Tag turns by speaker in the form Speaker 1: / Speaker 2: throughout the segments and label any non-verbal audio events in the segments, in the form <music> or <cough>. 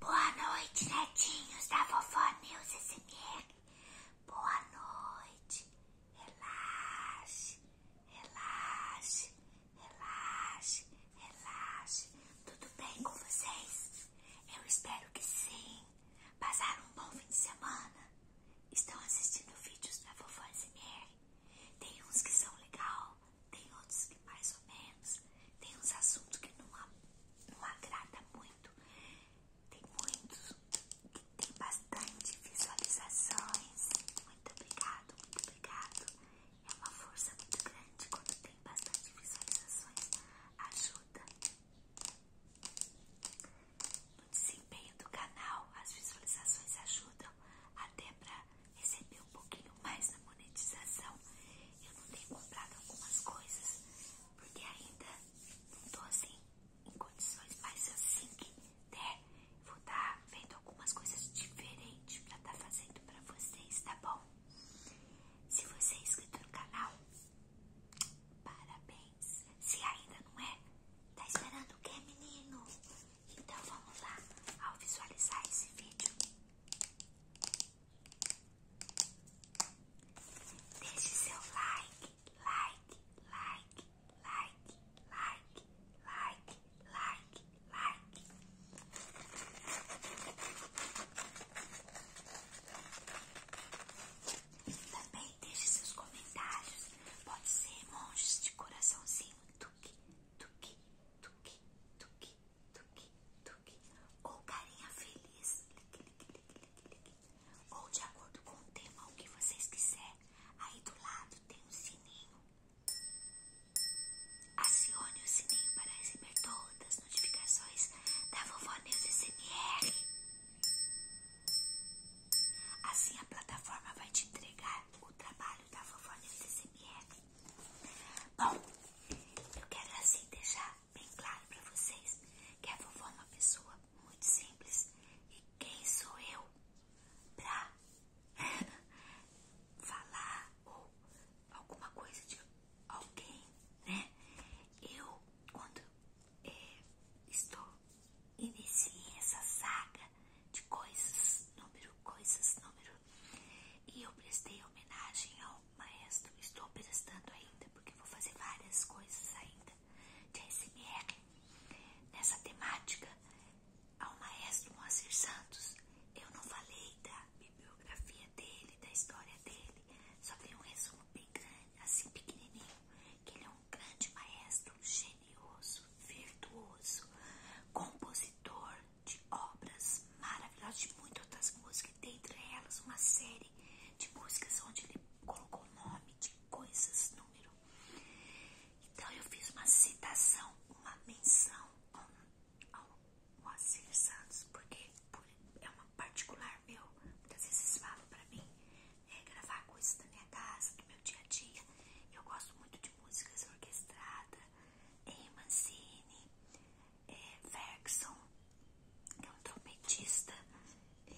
Speaker 1: Boa noite, netinhos da Vovó News SMR. Boa noite. Relaxe, relaxe, relaxe, relaxe. Tudo bem com vocês? Eu espero que sim. Passaram um bom fim de semana? Estão assistindo vídeos da Vovó SMR? Tem uns que são legal, tem outros que mais ou menos, tem uns assuntos que não, não agrada muito, tem muitos que tem bastante visualizações. Muito obrigado, muito obrigado. É uma força muito grande quando tem bastante visualizações. Ajuda no desempenho do canal, as visualizações ajudam até para recebi um pouquinho mais na monetização. Eu não tenho comprado algumas coisas, porque ainda não estou assim em condições, mas assim que der, vou estar tá vendo algumas coisas diferentes para estar tá fazendo para vocês, tá bom? Se você é inscrito no canal, parabéns! Se ainda não é, tá esperando o que, menino? Então vamos lá ao visualizar esse vídeo. Deixe seu like, like, like, like, like, like, like, like. Também deixe seus comentários. Pode ser monstros de coraçãozinho. Tuque, tuque, tuque, tuque, ou carinha feliz, ou de acordo com o tema, o que vocês quiserem. Aí do lado tem um sininho. Acione o sininho para receber todas as notificações da Vovó News SMR. Assim a plataforma vai te entregar o trabalho da Vovó News SMR Bom, eu quero assim deixar bem claro para vocês que a vovó é uma pessoa muito simples e quem sou eu para <laughs> falar ou alguma coisa de alguém, né? Eu, quando eh, estou iniciei essa saga de coisas, número, coisas, número. E eu prestei homenagem ao maestro, estou prestando ainda, porque vou fazer várias coisas ainda de ASMR nessa temática ao maestro Moacir Santos. Eu não falei da bibliografia dele, da história dele, só dei um resumo bem grande, assim pequenininho, que ele é um grande maestro, um genioso, virtuoso, compositor de obras maravilhosas, de muitas outras músicas, dentre elas uma série de músicas onde ele colocou nome de coisas, número. Então eu fiz uma citação, uma menção ao, ao Moacir Santos, porque é uma particular meu. Muitas vezes falam pra mim é, gravar coisas da minha casa, do meu dia a dia. Eu gosto muito de músicas orquestradas, Mancini, é, Ferguson, que é um trompetista, é,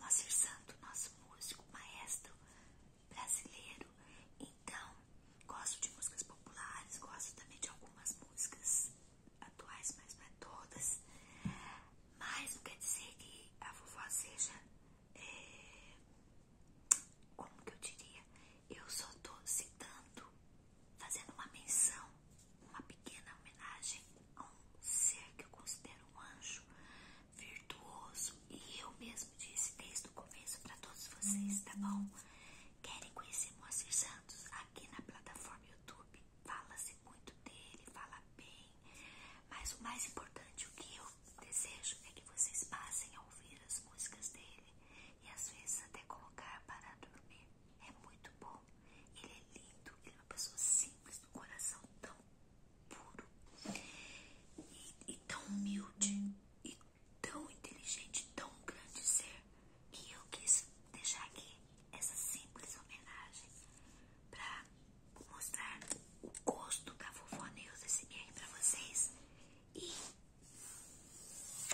Speaker 1: Nosso Santo, nosso músico, maestro brasileiro. Então, gosto de músicas populares, gosto também de algumas músicas atuais, mas não é todas. Mas não quer dizer que a vovó seja é, como que eu diria? Eu só tô citando, fazendo uma menção, uma pequena homenagem a um ser que eu considero um anjo virtuoso. E eu mesmo disse desde o começo para todos vocês, tá bom? Uhum. Querem conhecer Moacir Santos aqui na plataforma YouTube? Fala-se muito dele, fala bem, mas o mais importante, o que eu desejo é que vocês passem a ouvir as músicas dele e às vezes até colocar para dormir. É muito bom. Ele é lindo, ele é uma pessoa simples, do coração tão puro e, e tão humilde e tão inteligente, tão grande ser que eu quis deixar aqui essa simples homenagem para Vou mostrar o gosto da Vovó Neus SMR para vocês. E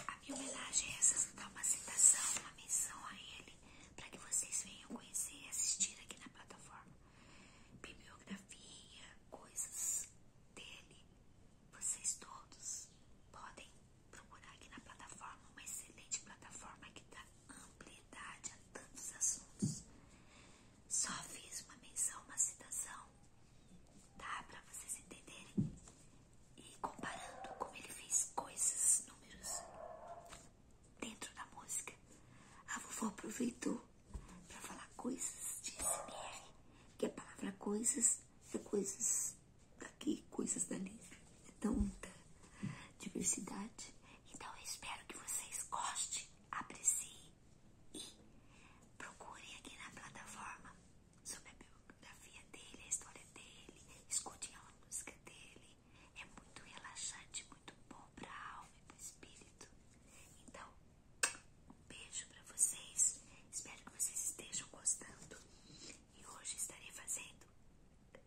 Speaker 1: a minha homenagem é essa, dar uma citação, uma menção a ele, para que vocês venham conhecer e assistir aqui na plataforma. Bibliografia, coisas dele, vocês todos podem procurar aqui na plataforma, uma excelente plataforma que dá amplitude a tantos assuntos. Só fiz uma menção, uma citação, tá? Pra vocês entenderem. E comparando como ele fez coisas, números dentro da música, a vovó aproveitou para falar coisas de SMR, que a palavra coisas é coisas daqui, coisas dali. É tanta diversidade. Então eu espero que vocês gostem aprecie e procure aqui na plataforma sobre a biografia dele, a história dele, escute a música dele. É muito relaxante, muito bom para a alma e para o espírito. Então, um beijo para vocês. Espero que vocês estejam gostando. E hoje estarei fazendo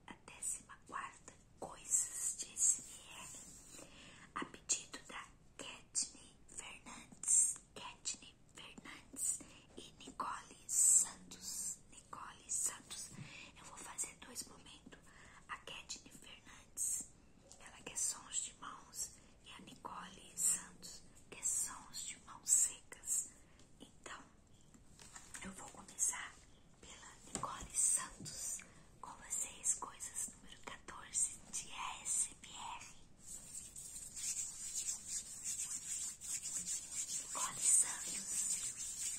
Speaker 1: a décima quarta coisas de SMR a pedido da Katney Fernandes, Katney Fernandes e Nicole Santos. Nicole Santos, eu vou fazer dois momentos. A Katney Fernandes, ela quer sons de mãos, e a Nicole Santos quer sons de mãos secas. Então, eu vou começar pela Nicole Santos. Com vocês, coisas número 14 de ASMR. Nicole Santos.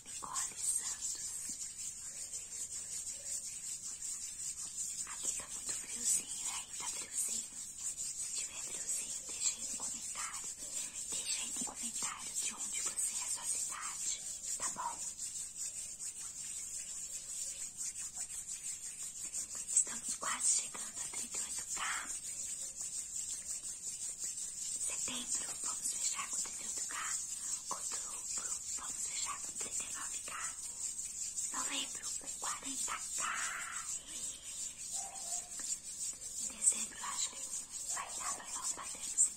Speaker 1: Nicole Santos. Aqui tá muito friozinho, né? aí tá friozinho. Se tiver friozinho, deixa aí no comentário. Deixa aí no comentário de onde você é a sua cidade, tá bom? Estamos quase chegando a 38k. Setembro, vamos fechar com 38k. Outubro, vamos fechar com 39k. Novembro, com 40k. Em dezembro, acho que vai dar pra nós batermos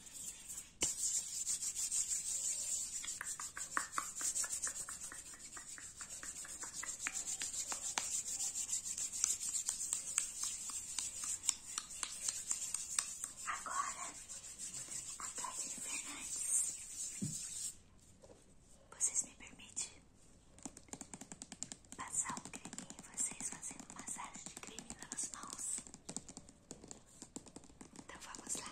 Speaker 1: Agora, a Tatiana Fernandes, vocês me permitem passar um creminho vocês fazendo massagem de creme nas mãos. Então vamos lá.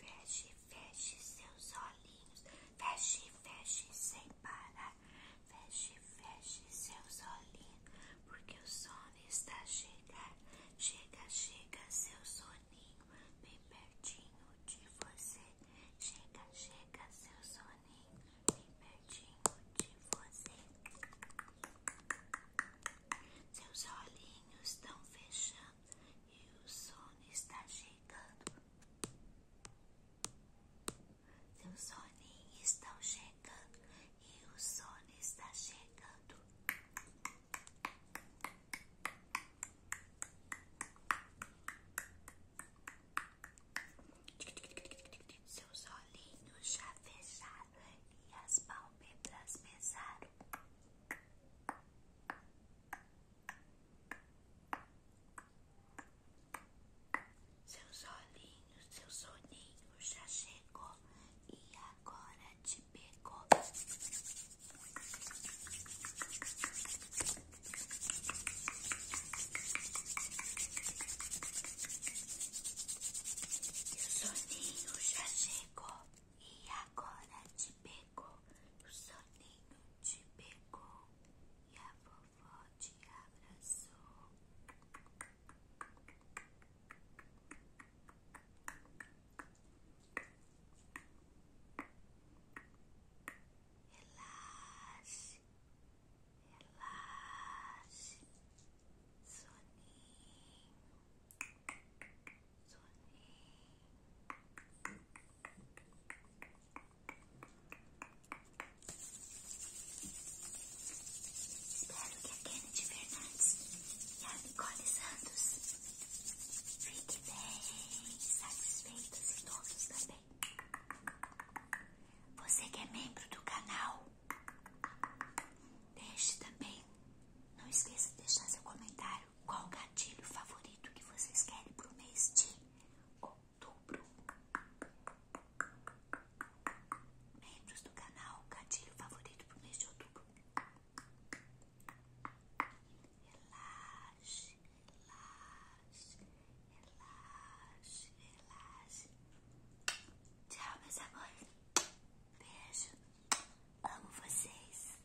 Speaker 1: Feche, feche seus olhinhos. Feche, feche sem vai parar. Feche, feche seus olhinhos, porque o sono está chegando Chega, chega seu soninho, bem pertinho de você. Chega, chega seu soninho, bem pertinho de você. Seus olhinhos estão fechando e o sono está chegando. Seu soninho estão chegando e o sono está chegando. Seus olhinhos já fecharam e as pálpebras pesaram. Seus olhinhos, seu soninho já chegou e agora te pegou. Seu soninho já chegou e agora te pegou. O soninho te pegou e a vovó te abraçou. Relaxe, relaxe, soninho, soninho. Espero que a Kennedy Fernandes e a Nicole Santos fiquem bem satisfeitos e todos também. Você que é membro do canal, deixe também, não esqueça de deixar seu comentário qual gatilho favorito que vocês querem pro mês de outubro? Membros do canal, gatilho favorito pro mês de outubro. Relaxe, relaxe, relaxe, relaxe. Tchau, meus amores. Beijo. Amo vocês.